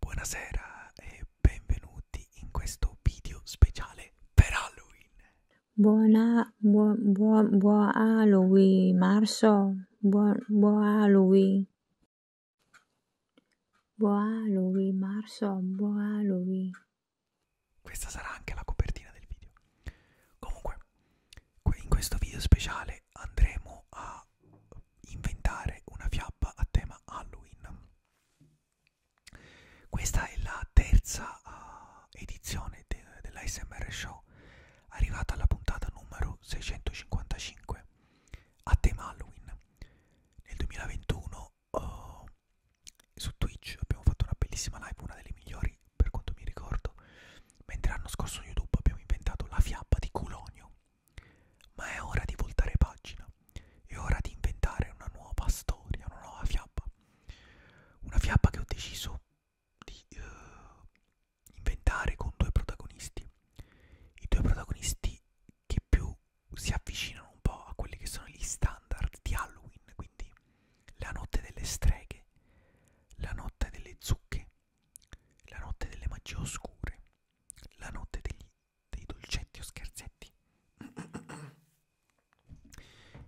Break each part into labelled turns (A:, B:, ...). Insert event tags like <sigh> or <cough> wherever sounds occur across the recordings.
A: Buonasera e benvenuti in questo video speciale per Halloween. Buona, buon, buon, buon Halloween, Marzo. Buon, buon Halloween. Buon Halloween, Marzo. Buon Halloween. Questa sarà anche la copertina del video. Comunque, in questo video speciale andremo a a inventare una fiaba a tema Halloween. Questa è la terza uh, edizione de dell'ASMR Show, arrivata alla puntata numero 655 a tema Halloween. Nel 2021 uh, eh, su Twitch abbiamo fatto una bellissima live, una delle migliori per quanto mi ricordo, mentre l'anno scorso su YouTube abbiamo inventato la fiaba di Culonio ma è ora di voltare pagina, è ora di inventare una nuova storia, una nuova fiaba. Una fiaba che ho deciso di uh, inventare con due protagonisti. I due protagonisti che più si avvicinano un po' a quelli che sono gli standard di Halloween, quindi la notte delle streghe, la notte delle zucche, la notte delle magie oscure, la notte degli, dei dolcetti o scherzetti.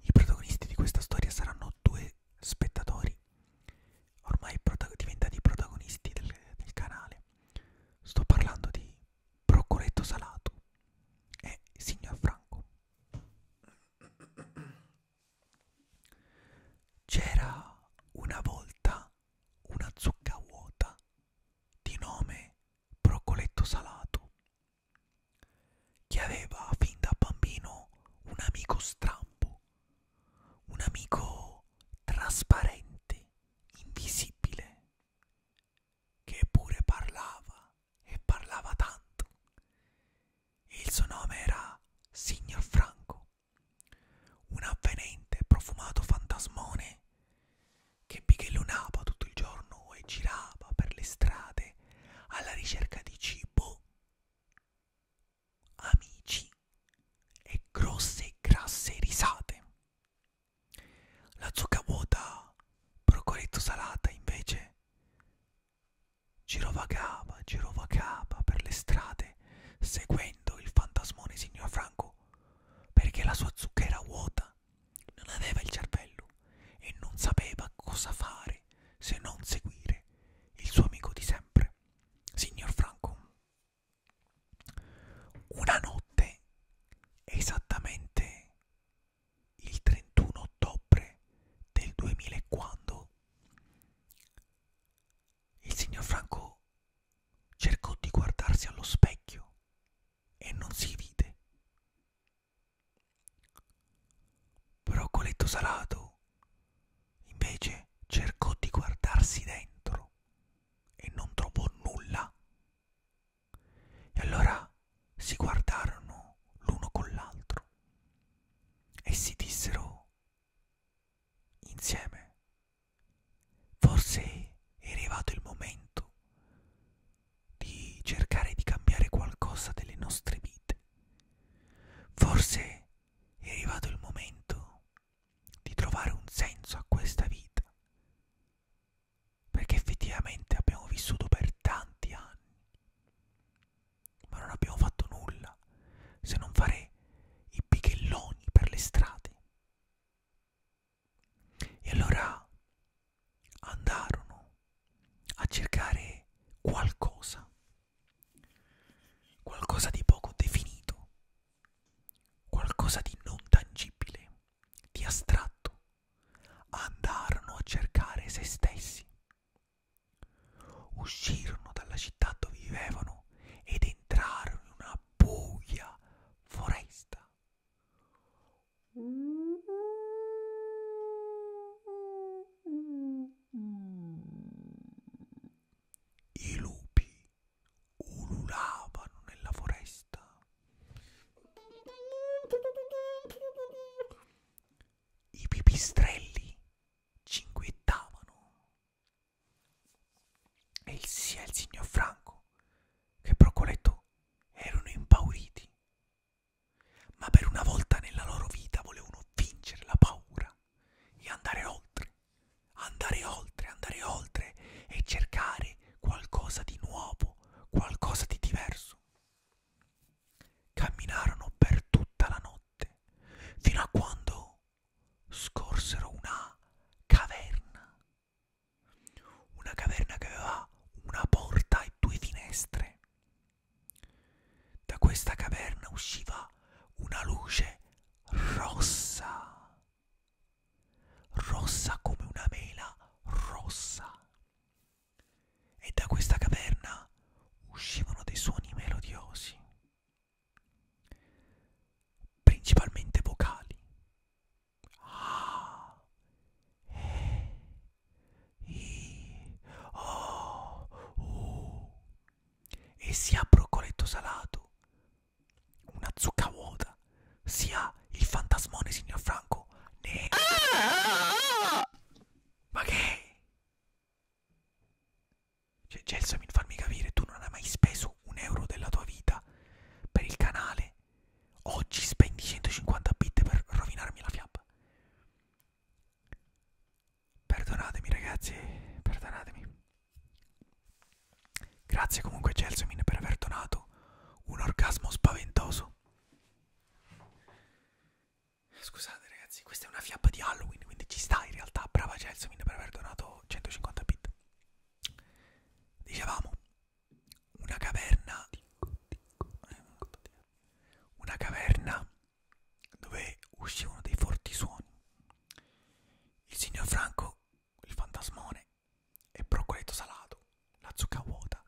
A: I protagonisti di questa storia saranno due spettatori, ormai prota diventati protagonisti del, del canale. Sto parlando di Procoletto Salato e Signor Franco. C'era una volta una zucca vuota di nome Procoletto Salato, che aveva fin da bambino un amico strambo, un amico trasparente, invisibile, che pure parlava e parlava tanto. Il suo nome era Signor Franco un avvenente profumato fantasmone che bighellonava tutto il giorno e girava per le strade alla ricerca di cibo, amici e grosse e grasse risate. La zucca vuota, procoletto salata invece, girovagava, girovagava per le strade paese seguendo il fantasmone signor Franco perché la sua zucca era vuota, non aveva il cervello e non sapeva cosa fare se non seguire il suo amico di sempre, signor Franco. Una notte, esattamente il 31 ottobre del 2000 quando il signor Franco cercò di guardarsi allo specchio e non si vide. Broccoletto salato invece cercò di guardarsi dentro e non trovò nulla. E allora si guardarono l'uno con l'altro e si dissero insieme. Forse è arrivato il momento di cercare di cambiare qualcosa delle nostre vite. Forse è arrivato il momento di trovare un senso a questa vita. Perché effettivamente abbiamo vissuto per tanti anni, ma non abbiamo fatto nulla se non fare i pichelloni per le strade. E allora andarono a cercare qualcosa, qualcosa di poco definito, qualcosa di non tangibile, di astratto. Andarono a cercare se stessi. Uscirono dalla città dove vivevano ed entrarono in una buia foresta. I lupi ululavano nella foresta. I pipistrelli cinguettavano e sia il signor Franco che Procoletto erano impauriti, ma per una volta nella loro vita volevano vincere la paura e andare oltre, andare oltre, andare oltre e cercare qualcosa di nuovo, qualcosa di diverso. Camminarono per tutta la notte, fino a quando scorsero una caverna. Una caverna che aveva una porta e due finestre. Da questa caverna usciva una luce rossa, rossa come una mela rossa. E da questa caverna uscivano dei suoni melodiosi principalmente vocali. Ah, eh, i, oh, uh, e sia Broccoletto Salato, una zucca vuota, sia il fantasmone signor Franco. Ne... Ah, ah, ah, ah! Ma che? Cioè, Gelsamin, farmi capire, tu non hai mai speso un euro della tua vita per il canale. Oggi spendi 150 bit per rovinarmi la fiaba. Perdonatemi, ragazzi, perdonatemi. Grazie comunque, Gelsamin, per aver donato un orgasmo spaventoso. Scusate ragazzi, questa è una fiaba di Halloween, quindi ci sta in realtà. Brava Gelsomine per aver donato 150 bit. Dicevamo, una caverna... Una caverna dove uscivano dei forti suoni. Il signor Franco, il fantasmone e Procoletto Salato, la zucca vuota,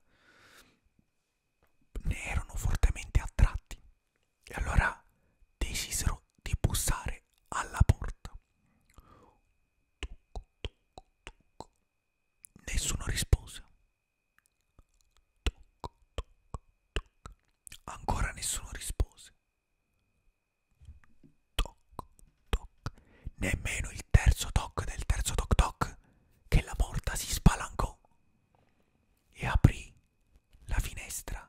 A: ne erano fortemente attratti e allora decisero di bussare alla porta. Tuc, tuc, tuc. Nessuno rispose. Tuc, tuc, tuc. Ancora nessuno rispose. Toc, toc. Nemmeno il terzo toc del terzo toc toc che la porta si spalancò e aprì la finestra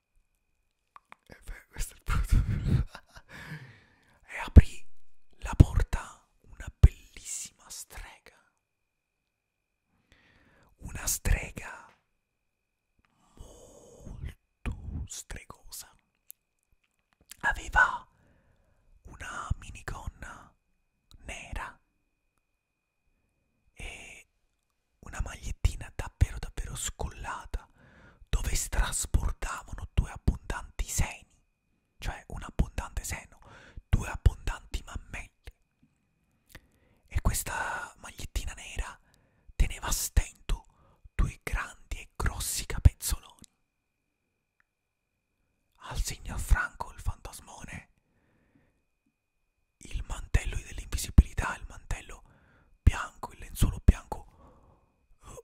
A: E eh beh, questo è il punto. <laughs> e eh, aprì la porta una bellissima strega. Una strega molto stregosa. Aveva una minigonna nera e una magliettina davvero davvero scollata dove strasbordavano due abbondanti seni, cioè un abbondante seno, due abbondanti mammelle. E questa magliettina nera teneva a stento due grandi e grossi capezzoloni. Al signor Franco il fantasmone il mantello dell'invisibilità, il mantello bianco, il lenzuolo bianco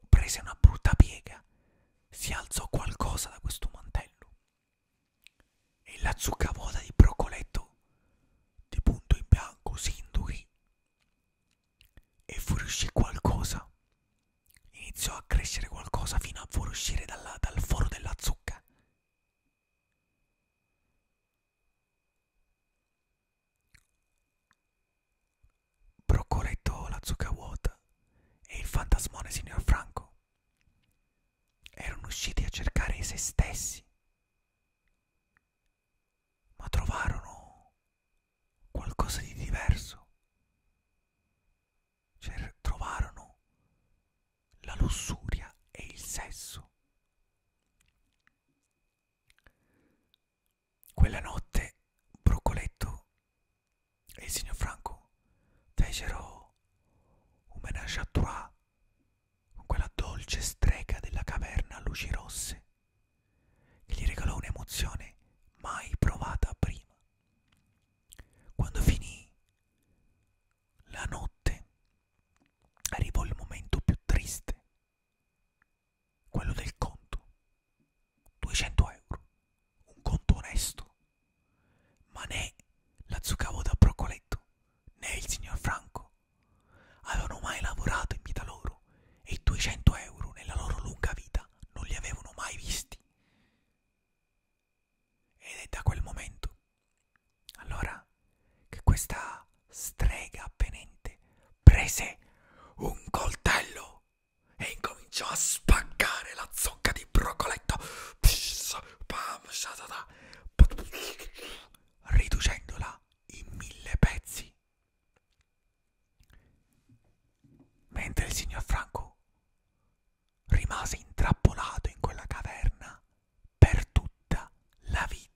A: prese una brutta piega, si alzò qualcosa da questo mantello e la zuccavuota di Brocoletto di punto in bianco si induì e fuoriuscì qualcosa, iniziò a crescere qualcosa fino a fuoriuscire dalla, dal foro della zucca. Procuretto la zucca vuota e il fantasmone signor Franco erano usciti a cercare se stessi, ma trovarono qualcosa di diverso. Cioè, trovarono la lussuria e il sesso. Quella notte Broccoletto e il signor Franco fecero un menage à trois con quella dolce strega della caverna a luci rosse che gli regalò un'emozione mai provata prima. Quando finì la notte arrivò il momento più triste, quello del conto. 200 euro, un conto onesto, ma né la Zuccavo da Broccoletto né il signor Franco avevano mai lavorato in vita loro e i 200 euro nella loro lunga vita non li avevano mai visti. Ed è da quel momento allora che questa strega appenente prese un coltello e incominciò a spaccare la zocca di Brocoletto, riducendola in mille pezzi. Mentre il signor Franco rimase intrappolato in quella caverna per tutta la vita.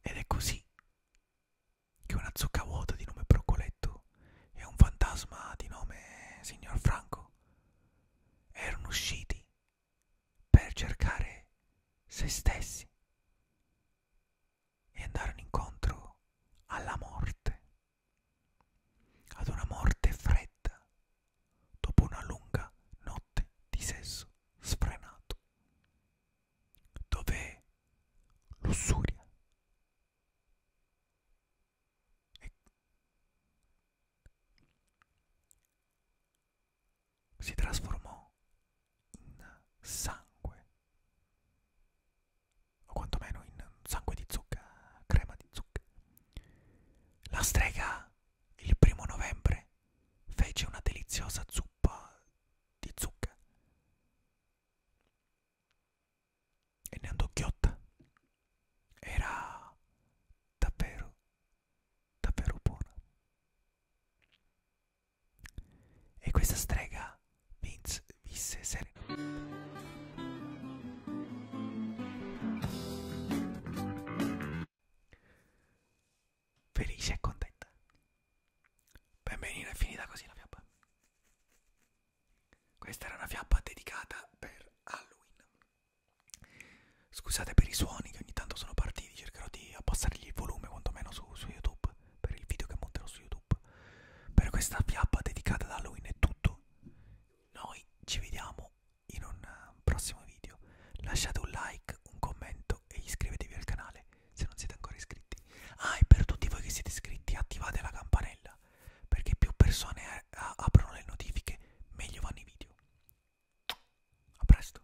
A: Ed è così che una zucca vuota di nome Procoletto e un fantasma di nome Signor Franco erano usciti per cercare se stessi e andarono incontro alla morte, ad una morte fredda, dopo una lunga notte di sesso sfrenato, dove lussuria e si trasformò in sangue o quantomeno in sangue di zucca, crema di zucca. La strega il primo novembre fece una deliziosa zuppa di zucca e ne andò ghiotta. Era davvero, davvero buona. E questa strega Vince visse serena. Felice e contenta. Benvenino è finita così la fiaba. Questa era una fiaba dedicata per Halloween. Scusate per i suoni che ogni tanto sono partiti, cercherò di abbassargli il volume quantomeno su, su YouTube per il video che monterò su YouTube. YouTube. Per questa fiaba dedicata ad Halloween è tutto. Noi ci vediamo in un eh, prossimo video. Lasciate un like, un commento e iscrivetevi al canale se non siete ancora iscritti. Ah, e per tutti voi che siete iscritti attivate la campanella perché più persone eh, aprono le notifiche meglio vanno i video. A presto.